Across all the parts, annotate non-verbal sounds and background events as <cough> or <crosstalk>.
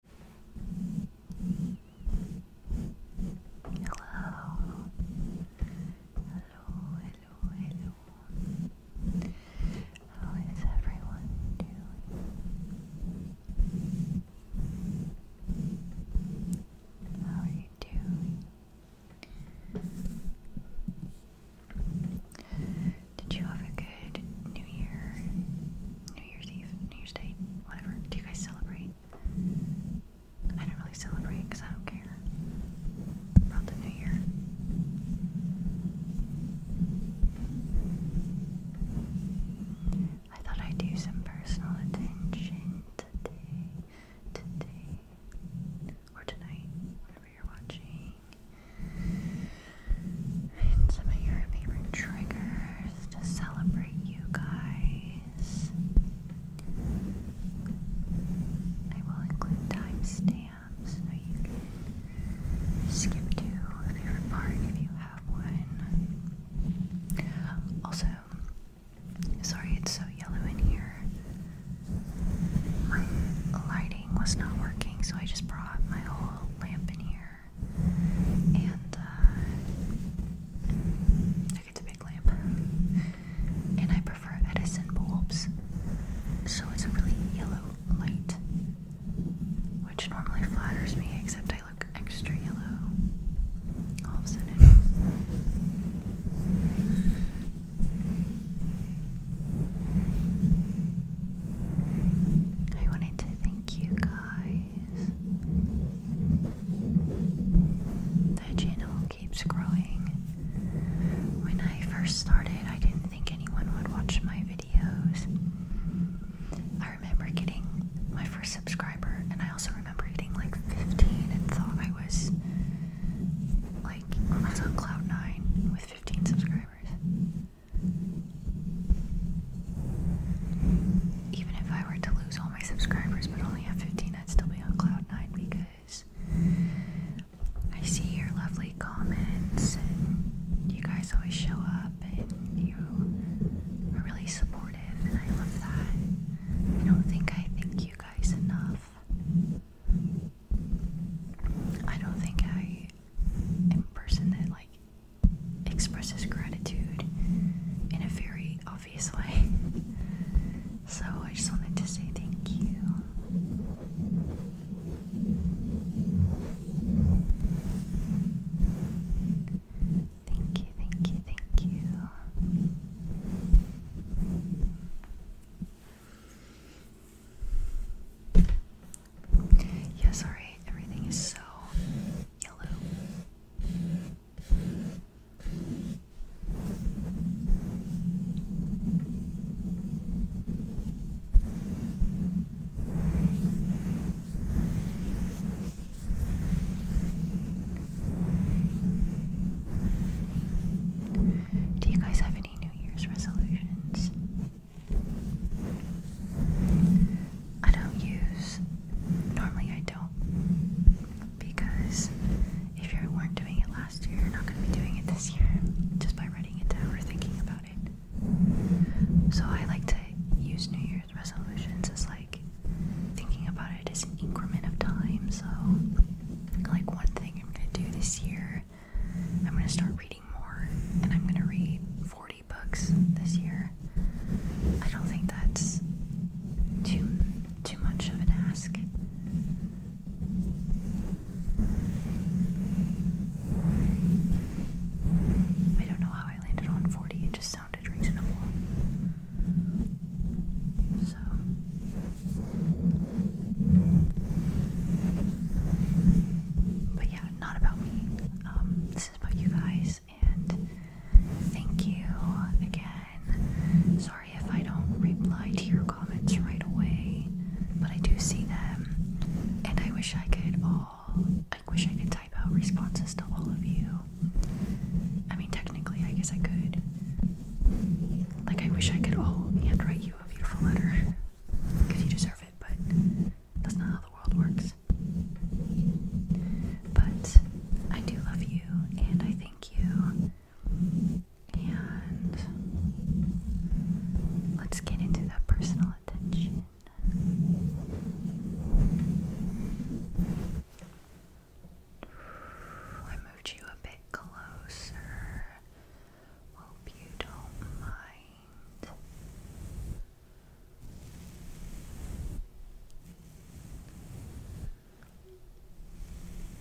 Hello. Hello, hello, hello. How is everyone doing? How are you doing? Did you have a good New Year? New Year's Eve, New Year's Day, whatever. Do you guys celebrate? I don't really celebrate because I don't care about the New Year. I thought I'd do some personal attention today, today, or tonight, whenever you're watching and some of your favorite triggers to celebrate you guys. I will include timestamps so you can skip to a favorite part if you have one. Also, sorry it's so yellow in here. My lighting was not working, so I just brought my whole lamp in here and uh, I get to big lamp. And I prefer Edison bulbs, so it's a really yellow light, which normally flatters me, except I look extra yellow all of a sudden. I wanted to thank you guys the channel keeps growing. When I first started, I didn't think anyone would watch my videos. I remember getting my first subscriber, and I also remember getting like 15 and thought I was like I was on Cloud 9 with 15 subscribers. Even if I were to lose all my subscribers but only have 15, I'd still be on cloud nine because I see your lovely comments and you guys always show up and you are really supportive and I love that. I don't think I thank you guys enough. I don't think I am a person that like expresses gratitude in a very obvious way. <laughs> so I just wanted to say thank you. Thank you, thank you, thank you. Yes, sorry, everything is so yellow. Do you guys have any New Year's resolutions? I don't use, normally I don't, because if you weren't doing it last year, you're not going to be doing it this year just by writing it down or thinking about it. So I like to use New Year's resolutions as like thinking about it as an increment of time. So, like, one thing I'm going to do this year, I'm going to start reading more, and I'm going to read forty books this year. I don't think that's too too much of an ask. I don't know how I landed on 40, it just sounded reasonable. So but yeah, not about me. Um, voices you guys, and thank you again. Sorry if I don't reply to your comments right away, but I do see them, and I wish I could all. I wish I could type out responses to all of you. I mean, technically, I guess I could. Like, I wish I could all and write you a beautiful letter because you deserve it, but that's not how the world works. But I do love you and I thank you. And let's get into that personal attention. I moved you a bit closer. Hope you don't mind.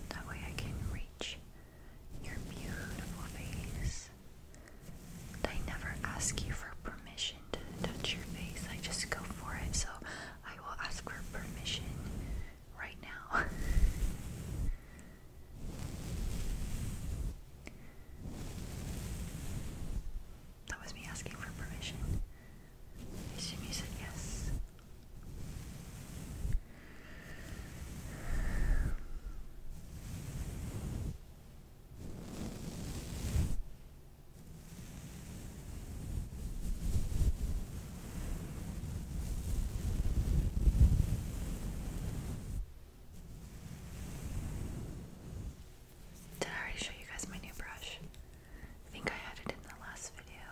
That way I can reach your beautiful face. I never ask you for permission to touch your face, I just go for it. So I will ask for permission right now. <laughs> That was me asking for permission. you said yes. Did I already show you guys my new brush? I think I had it in the last video.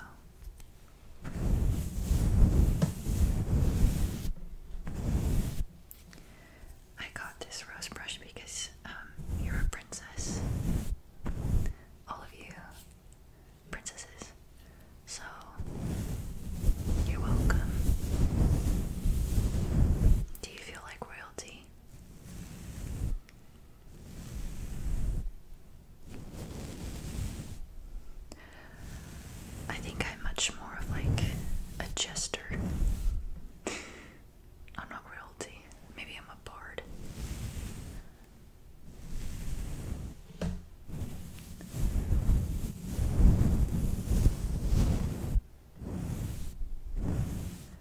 I got this rose brush because um, you're a princess. All of you princesses. So, you're welcome. Do you feel like royalty? I think I'm much more of like a jester. I'm not royalty. Maybe I'm a bard.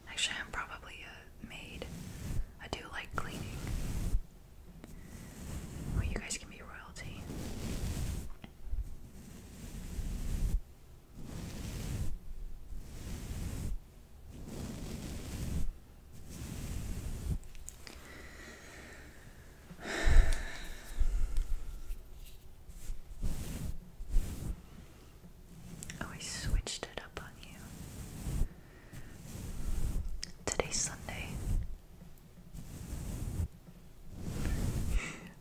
Actually, I'm probably a uh, maid. I do like cleaning. Well, you guys can be royalty. Oh, I switched it up on you. Today's Sunday.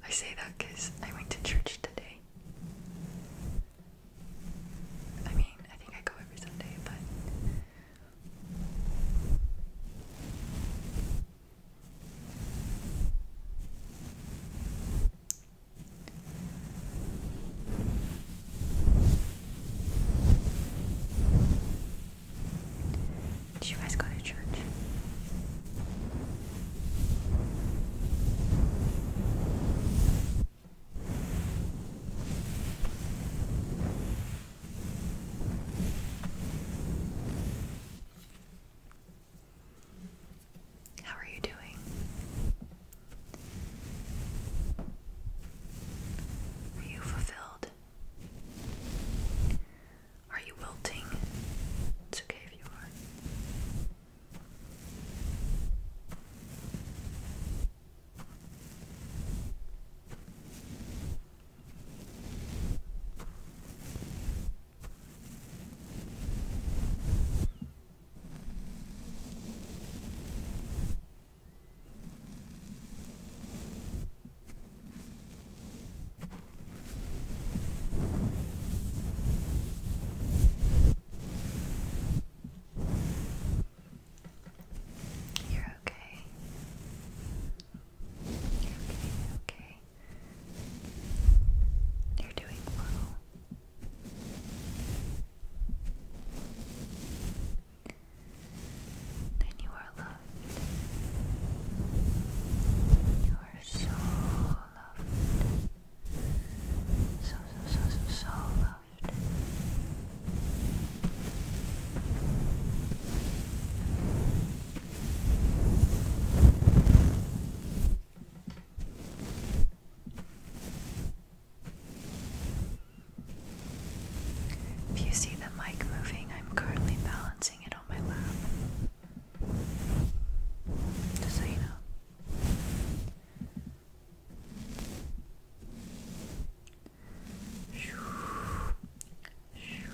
I say that because I went to church today. I mean, I think I go every Sunday, but. Did you guys go to church? How are you doing? Are you fulfilled? Are you wilting? It's okay if you are. You're okay. you okay, okay. You're doing well. And you are loved. You are so loved. So, so, so, so, so loved. If you see the mic moving, I'm currently balancing it on my lap. Just so you know. Shoo. Shoo.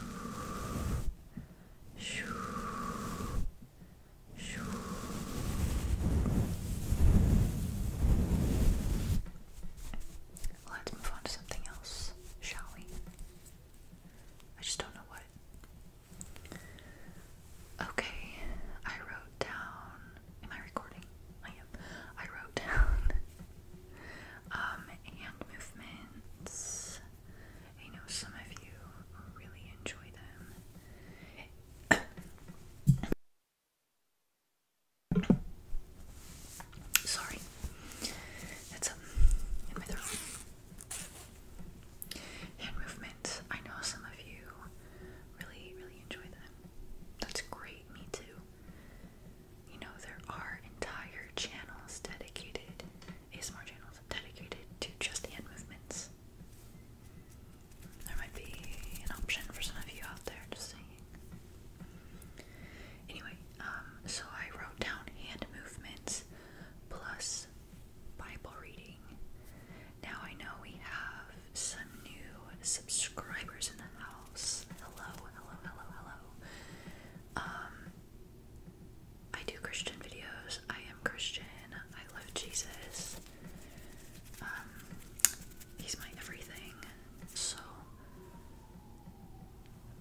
Shoo. Let's move on to something else, shall we? I just don't know what. Okay, I wrote down. Am I recording? I am. I wrote <laughs> down um hand movements I know some of you really enjoy them. Sorry, that's up Hand movements, I know some of you really, really enjoy them. That's great, me too. You know, there are entire channels dedicated, ASMR channels dedicated to just hand movements. There might be an option for some of you out there just saying. Anyway, um, so I wrote down hand movements plus Bible reading. Now I know we have some new subscribers in the house. Hello, hello, hello, hello. Um, I do Christian videos. I am Christian. I love Jesus. Um, he's my everything. So,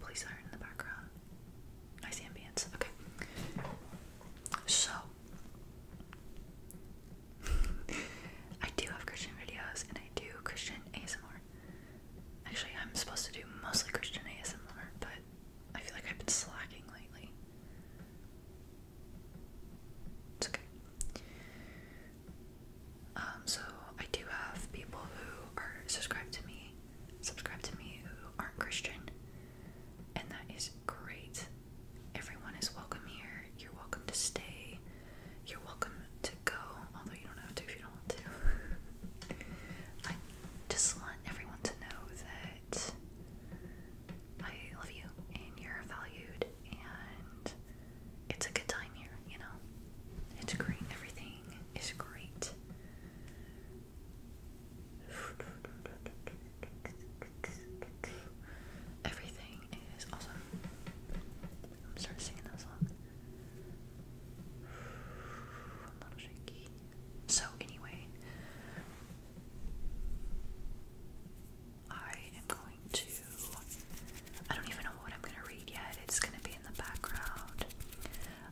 police are in the background. Nice ambience. Okay. So, <laughs> I do have Christian videos and I do Christian ASMR. Actually, I'm supposed to do mostly Christian ASMR, but I feel like I've been slacking lately. It's okay. Um, so I do have people who are subscribed to me, subscribed to me who aren't Christian, and that is great. Everyone is welcome here. You're welcome to stay. You're welcome to go, although you don't have to if you don't want to. <laughs> I just want everyone to know that I love you and you're valued and it's a good time here, you know? It's great. Everything is great. Everything is awesome. I'm starting to sing that song. <sighs> a little shaky. So, anyway, I am going to. I don't even know what I'm going to read yet. It's going to be in the background.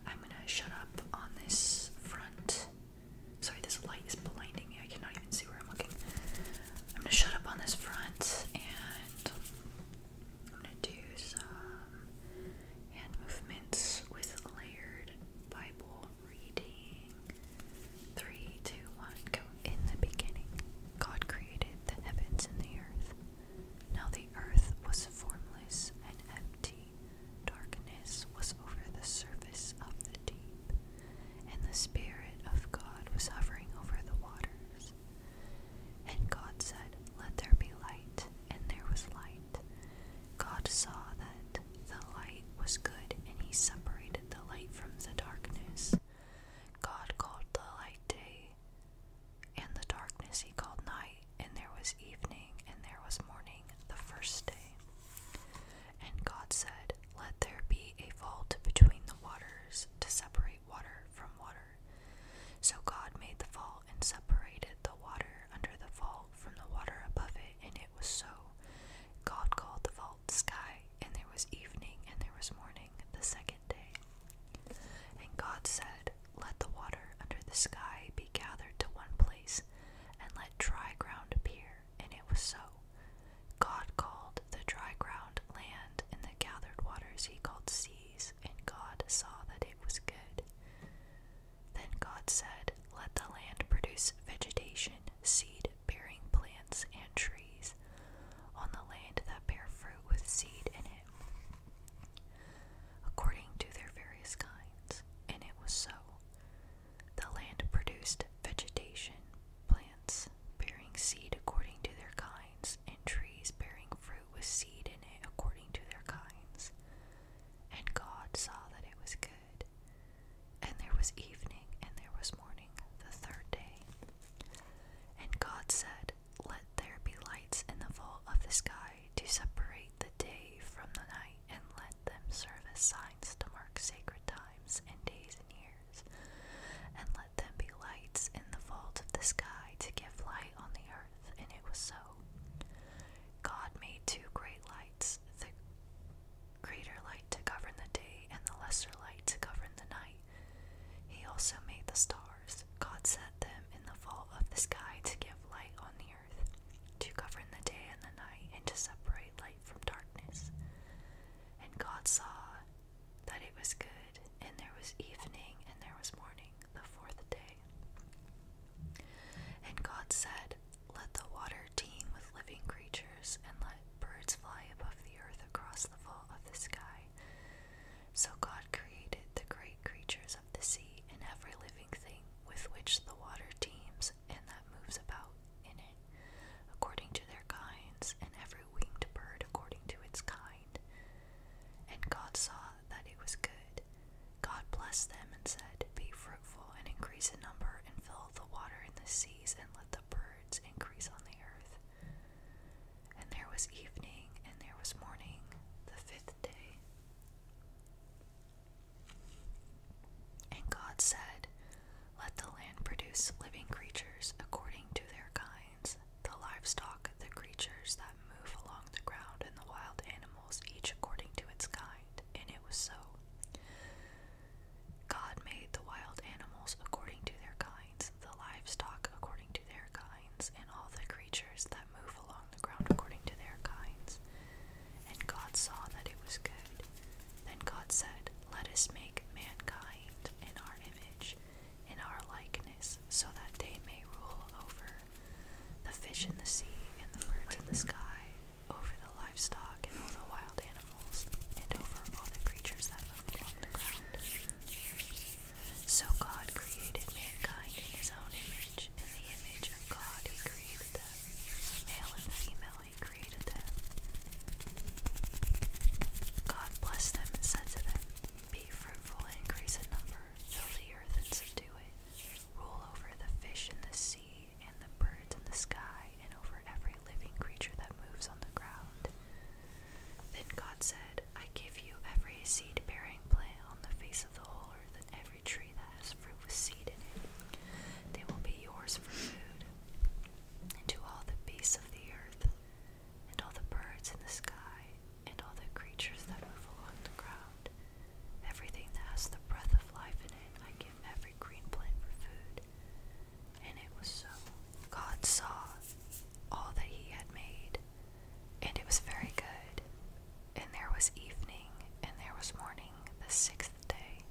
I'm going to shut up on this front. Sorry, this light is blinding me. I cannot even see where I'm looking. I'm going to shut up on this front and I'm going to do some hand movements with layered Bible reading. Three, two, one, go. In the beginning, God created the heavens and the earth. Now the earth was formless and empty. Darkness was over the surface of the deep, and the Spirit of God was hovering over the waters. And God said, Let there be light, and there was light. God saw that the light was good, and he separated the light from the darkness. God called the light day, and the darkness he called night, and there was evening, and there was morning, the first day. And God said, Let there be a vault between the waters to separate water from water. So God made the vault and separated the water under the vault from the water above it, and it was so. God called the vault sky, and there was evening, and there was morning the second day. And God said, Let the water under the sky be gathered to one place, and let dry ground appear. And it was so. God called the dry ground land, and the gathered waters he called seas, and God saw that it was good. Then God said, Let the land produce vegetation, seed bearing plants, and trees on the land that bear fruit with seed in it, according to their various kinds. And it was so. The land produced vegetation, plants bearing seed according to their kinds, and trees bearing fruit with seed in it according to their kinds. And God saw that it was good. And there was evening, and there was morning, the third day. And God said, Let there be lights in the vault of the sky to separate the day from the night, and let them serve as signs to mark sacred times and days and years. And let them be lights in the vault of the sky to give light on the earth. And it was so. God made two great lights the greater light to govern the day and the lesser light to govern the night. He also made the stars. God set them in the vault of the sky to give light on the earth, to govern the day and the night, and to separate light from darkness. And God saw that it was good, and there was evening, and there was morning, the fourth day. And God said, Let the water teem with living creatures, and let birds fly above the earth across the vault of the sky. So God created the great creatures of the sea and every living thing with which the water teems and that moves about in it, according to their kinds, and every winged bird according to its kind. And God saw that it was good. God blessed them and said, Be fruitful and increase in number, and fill the water in the seas, and let the birds increase on the earth. And there was evening, and there was morning, the fifth day. And God said, Let the land produce living creatures according to their kinds, the livestock, the creatures that move along the ground, and the wild animals each according to its kind, and it was so. God made the wild animals according to their kinds, the livestock according to their kinds, and all the creatures that move along the ground according to their kinds. And God saw that it was good. Then God said, Let us make mankind in our image, in our likeness, so that they may rule over the fish in the sea, and the birds in the sky, over the livestock and all the wild animals, and over all the creatures that lived on the ground. So God created mankind in his own image. In the image of God he created them. Male and female he created them. God blessed them and said to them, Be fruitful and increase in number, fill the earth and subdue it. Rule over the fish in the sea sea and the birds in the sky and over every living creature that moves on the ground. Then God said, I give you every seed bearing plant on the face of the whole earth and every tree that has fruit with seed in it. They will be yours for food. And to all the beasts of the earth, and all the birds in the sky, and all the creatures that move along the ground. Everything that has the breath of life in it, I give every green plant for food. And it was so. God saw all that he had made, and it was very good. And there was evening, and there was morning, the sixth day.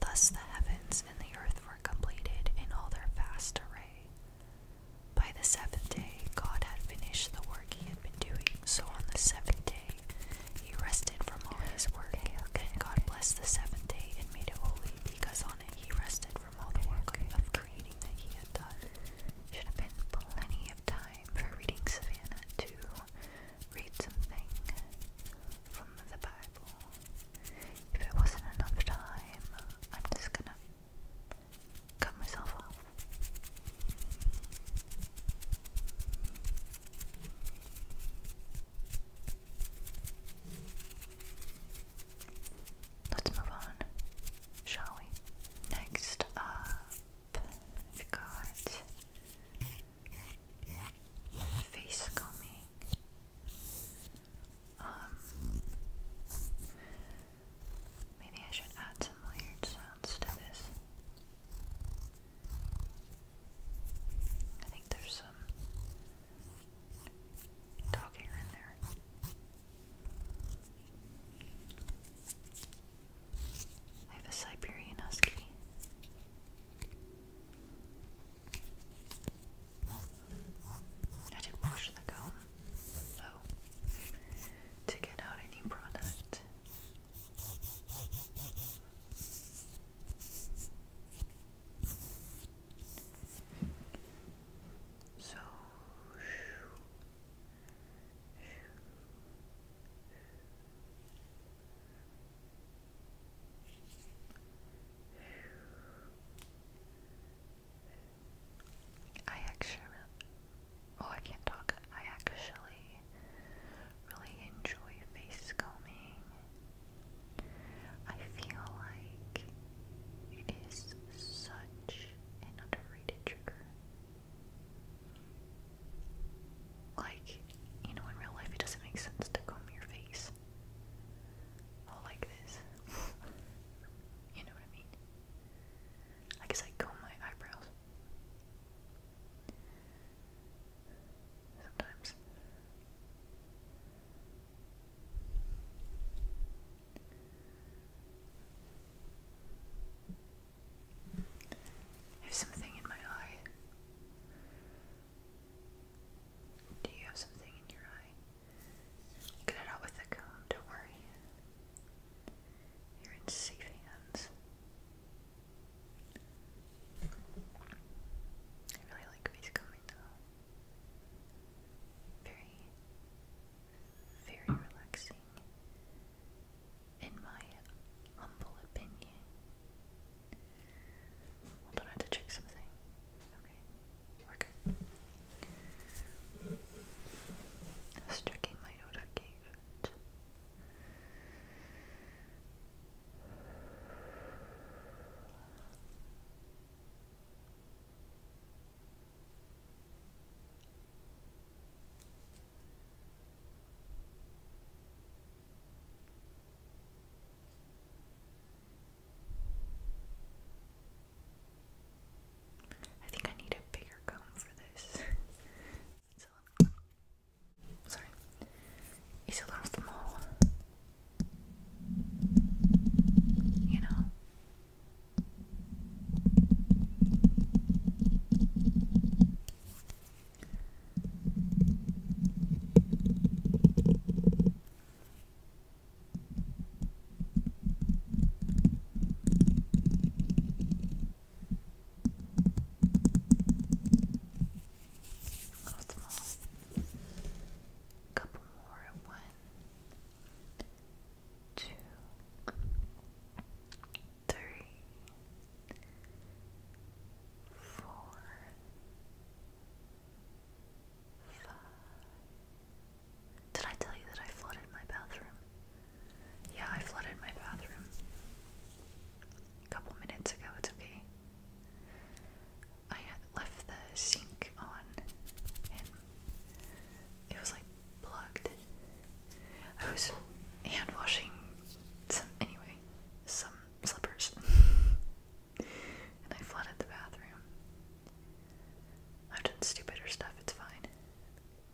Thus the heavens and the earth were completed in all their vast array. By the seventh day, God had finished the work he had been doing, so on the seventh day, he rested from all his work. Okay, and God okay. blessed the seventh day and made it holy, because on it he rested from all the work of creating that he had done. Should have been plenty of time for reading Savannah to read something from the Bible. If it wasn't enough time, I'm just gonna cut myself off. Let's move on, shall we? Next up, we've got face combing. Um, maybe I should add some weird sounds to this. I think there's some dog hair in there. I have a Siberian Husky. I didn't wash the comb, so to get out any product, so I actually Oh, I can't talk. I actually really enjoy face combing. I feel like it is such an underrated trigger. Like, you know, in real life, it doesn't make sense to comb your face all like this. <laughs> you know what I mean? I guess I comb my eyebrows. Sometimes. have something in my eye. Do you have something in your eye? Get it out with the comb, don't worry. You're in safe hands. I really like face combing Very, very relaxing. In my humble opinion. Hold on, have to check something. Okay, we're checking my notifications. I think I need a bigger comb for this. <laughs> Sorry. It's a lot of them You know. Lots more. Couple more. One, two, three, four, five. Did I tell you that I flooded my bathroom? Yeah, I flooded my bathroom a couple minutes ago. It's okay. I had left the sink on and it was like plugged. I was hand washing some, anyway, some slippers. <laughs> and I flooded the bathroom. I've done stupider stuff, it's fine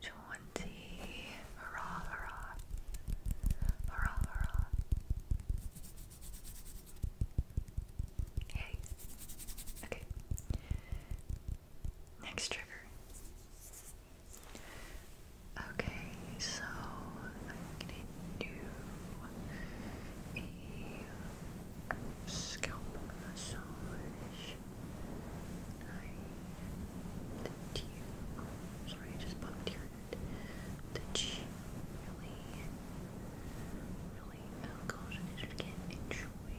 Twenty, hurrah, hurrah, hurrah, hurrah. Okay. Next trigger. Okay, so I'm gonna scalp massage. I did sorry, I just bumped your head. The cheek really, Holy, oh gosh, I should get enjoy.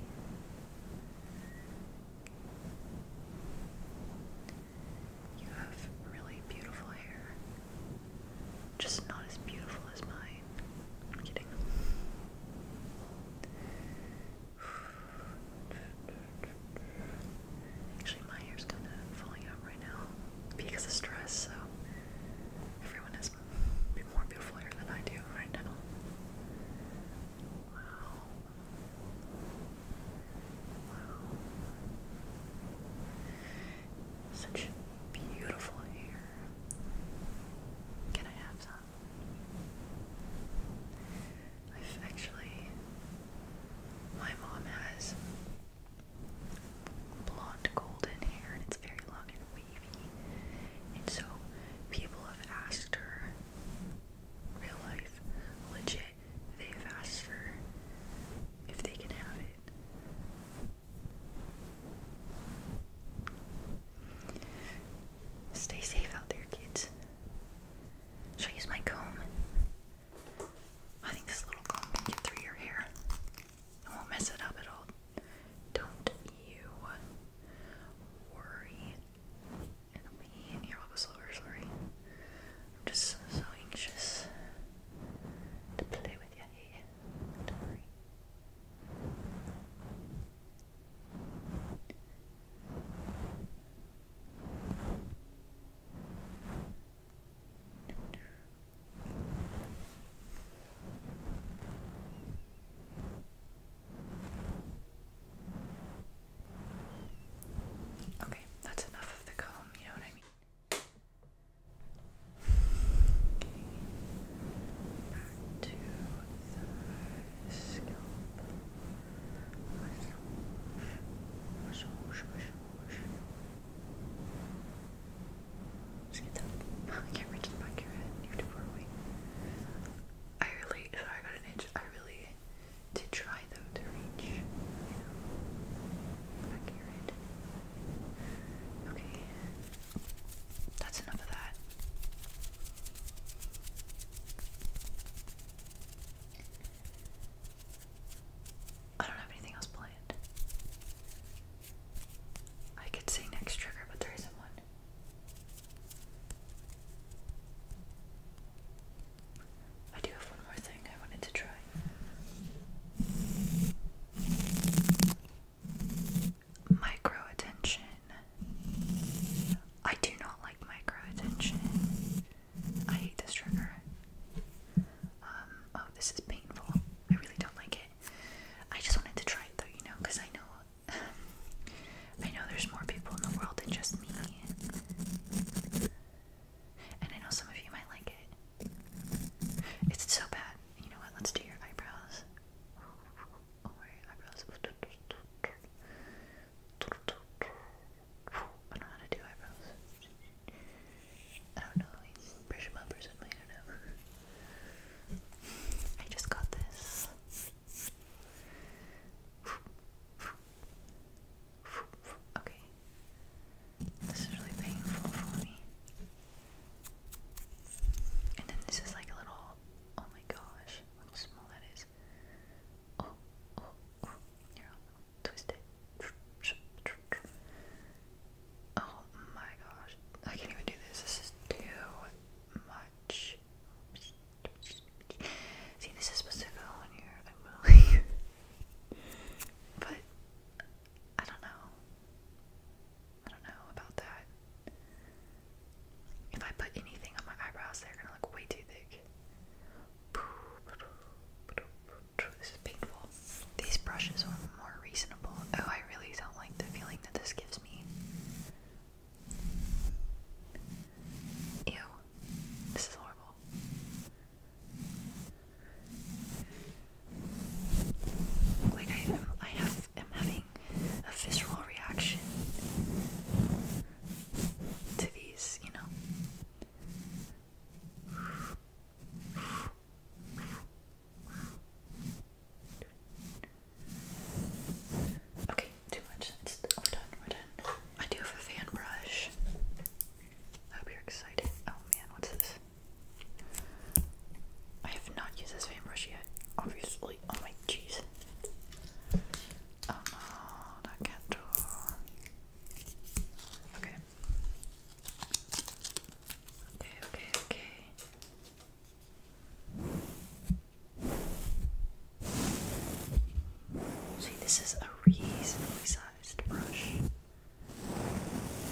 You have really beautiful hair. Just not as beautiful as mine. I'm kidding. Actually, my hair's kind of falling out right now because of stress, so everyone has more beautiful hair than I do right now. Wow. Wow. Such beautiful hair. Can I have some? I've actually, my mom has blonde golden hair and it's very long and wavy. And so people have asked her, real life, legit, they've asked her if they can have it. Stay safe out there, kids. Should I use my comb? I think this little comb can get through your hair. It won't mess it up at all. Don't you worry. It'll be here. I'll go slower. Sorry. I'm just so anxious to play with you. Hey, eh? don't worry. Okay, that's enough of the comb, you know what I mean? Okay, back to the scalp. Massage, Oh, I really, sorry, I got an itch. I really did try though to reach, you know, back of Okay, that's enough of that. I don't have anything else planned. I could say next trigger, but there isn't one. I do have one more thing I wanted to try. Micro attention. I do not like micro attention. I hate this trigger. Um, oh, this is painful. I really don't like it. I just wanted to try it though, you know, because I know <sighs> I know there's more people in the world than just me. And I know some of you might like it. so bad. You know what? Let's do your oh, eyebrows. I don't know how to do eyebrows. I don't know. Pressure bumpers with me. I don't know. I just got this. Okay. This is really painful for me. And then this is like a little. Oh my gosh, how small that is. Oh, oh, oh. twist it. Oh my gosh. I can't even do this. This is too much. See, this is supposed to go on here. but I don't know. I don't know about that. If I put anything on my eyebrows, they're gonna look way too thick. This is painful. These brushes are more reasonable. Oh, I really don't like the feeling that this gives me. Ew. This is horrible. Like I I have am having a visceral reaction to these, you know. Okay, too much. we're done, we're done. I do have a fan brush. I hope you're excited. Oh man, what's this? I have not used this fan brush yet, obviously. Oh my jeez. Oh um, uh, no, that cat door. Okay. Okay, okay, okay. See, this is a reasonably sized brush,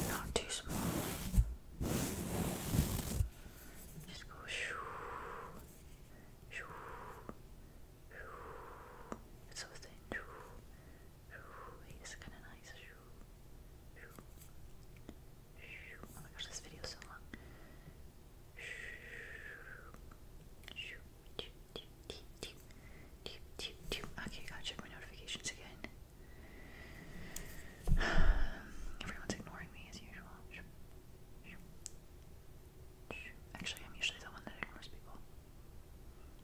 not too small. Just go shoo, shoo, shoo. It's so thin. Shoo, shoo. It's kind of nice. Shoo. Oh this video is so long. Okay, got check my notifications again. <sighs> Everyone's ignoring me as usual. Actually, I'm usually the one that ignores people.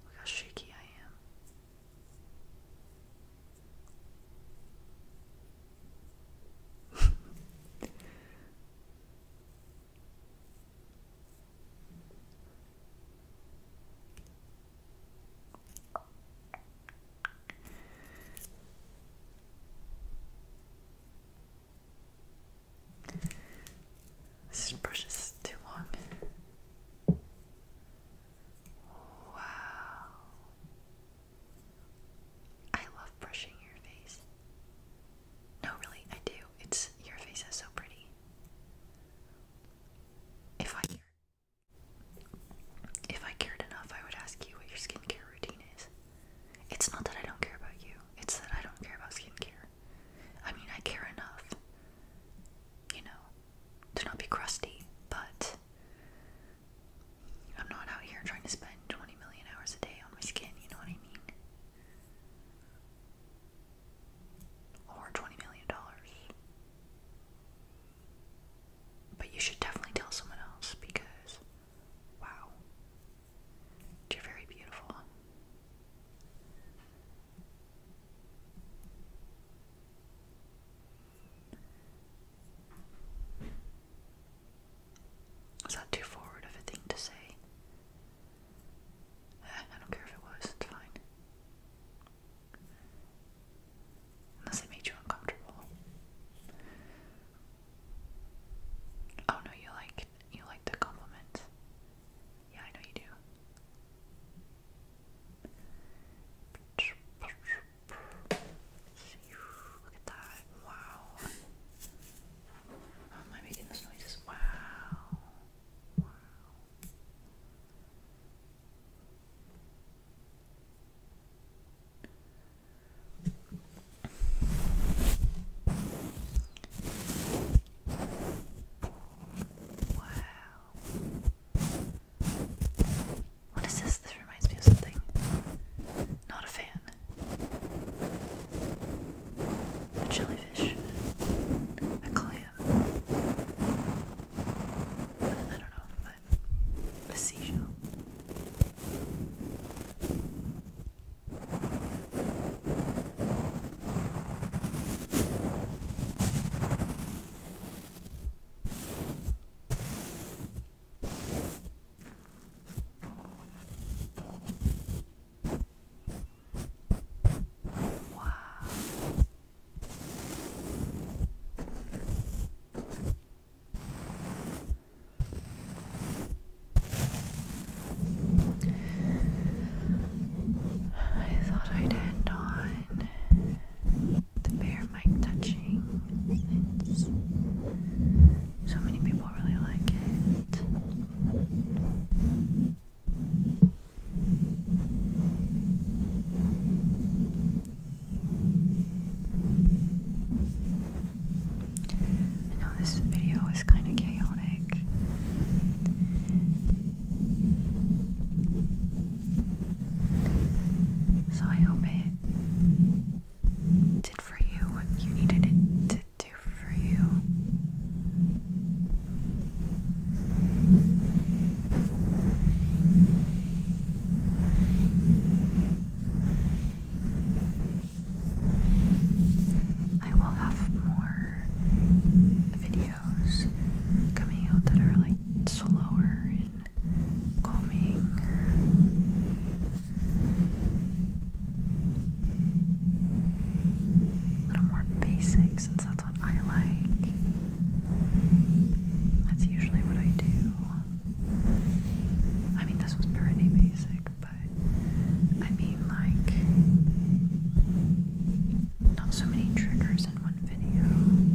Look how shaky I am. This brush is too long. Wow. I love brushing your face. No, really, I do. It's your face is so pretty. If I if I cared enough, I would ask you what your skincare routine is. It's not that I don't care about you. It's that I don't care about skincare. I mean, I care enough, you know, to not be crusty, but I'm not out here trying to spend 20 million hours a day on my skin, you know what I mean? Or 20 million dollars. But you should definitely tell someone else because, wow, you're very beautiful. Was that too forward of a thing to say? Eh, I don't care if it was, it's fine. Unless it made you uncomfortable. Oh no, you like you like the compliment. Yeah, I know you do. Look at that. Wow. How am I making those noises? Wow. Wow. Wow. What is this? This reminds me of something. Not a fan. A jellyfish. A clam. I don't know, but a seashell. Wow. I thought I'd end on the bare mic touching. so many people really like it. I know this video is kind of chaotic. So I hope it did for you what you needed it to do for you. I will have more videos coming out that are like slower calming. A little more basic since that's what I like. That's usually what I do. I mean, this was pretty basic, but I mean, like, not so many triggers in one video.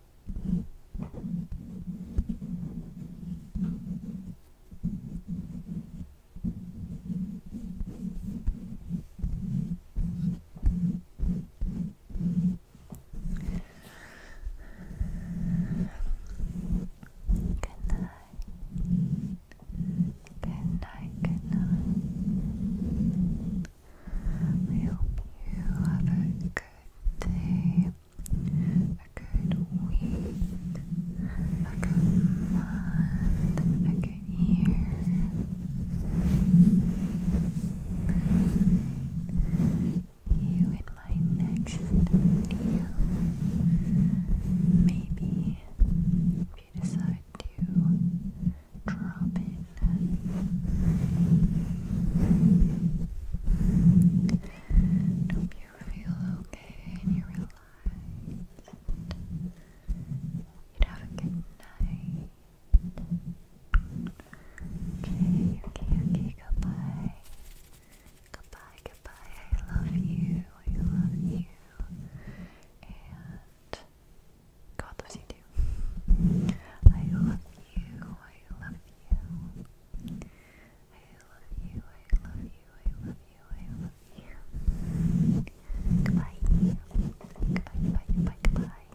Good night. Good night, good night. I hope you have a good day a good week, a good month, a good year. You in my next video. Maybe if you decide to drop in hope you feel okay and you relax. You'd have a good night. Okay, okay, okay, goodbye. Goodbye, goodbye. I love you. I love you. And God loves you I love you. I love you love you, I love you, I love you, I love you. Goodbye. Goodbye, goodbye, goodbye, goodbye.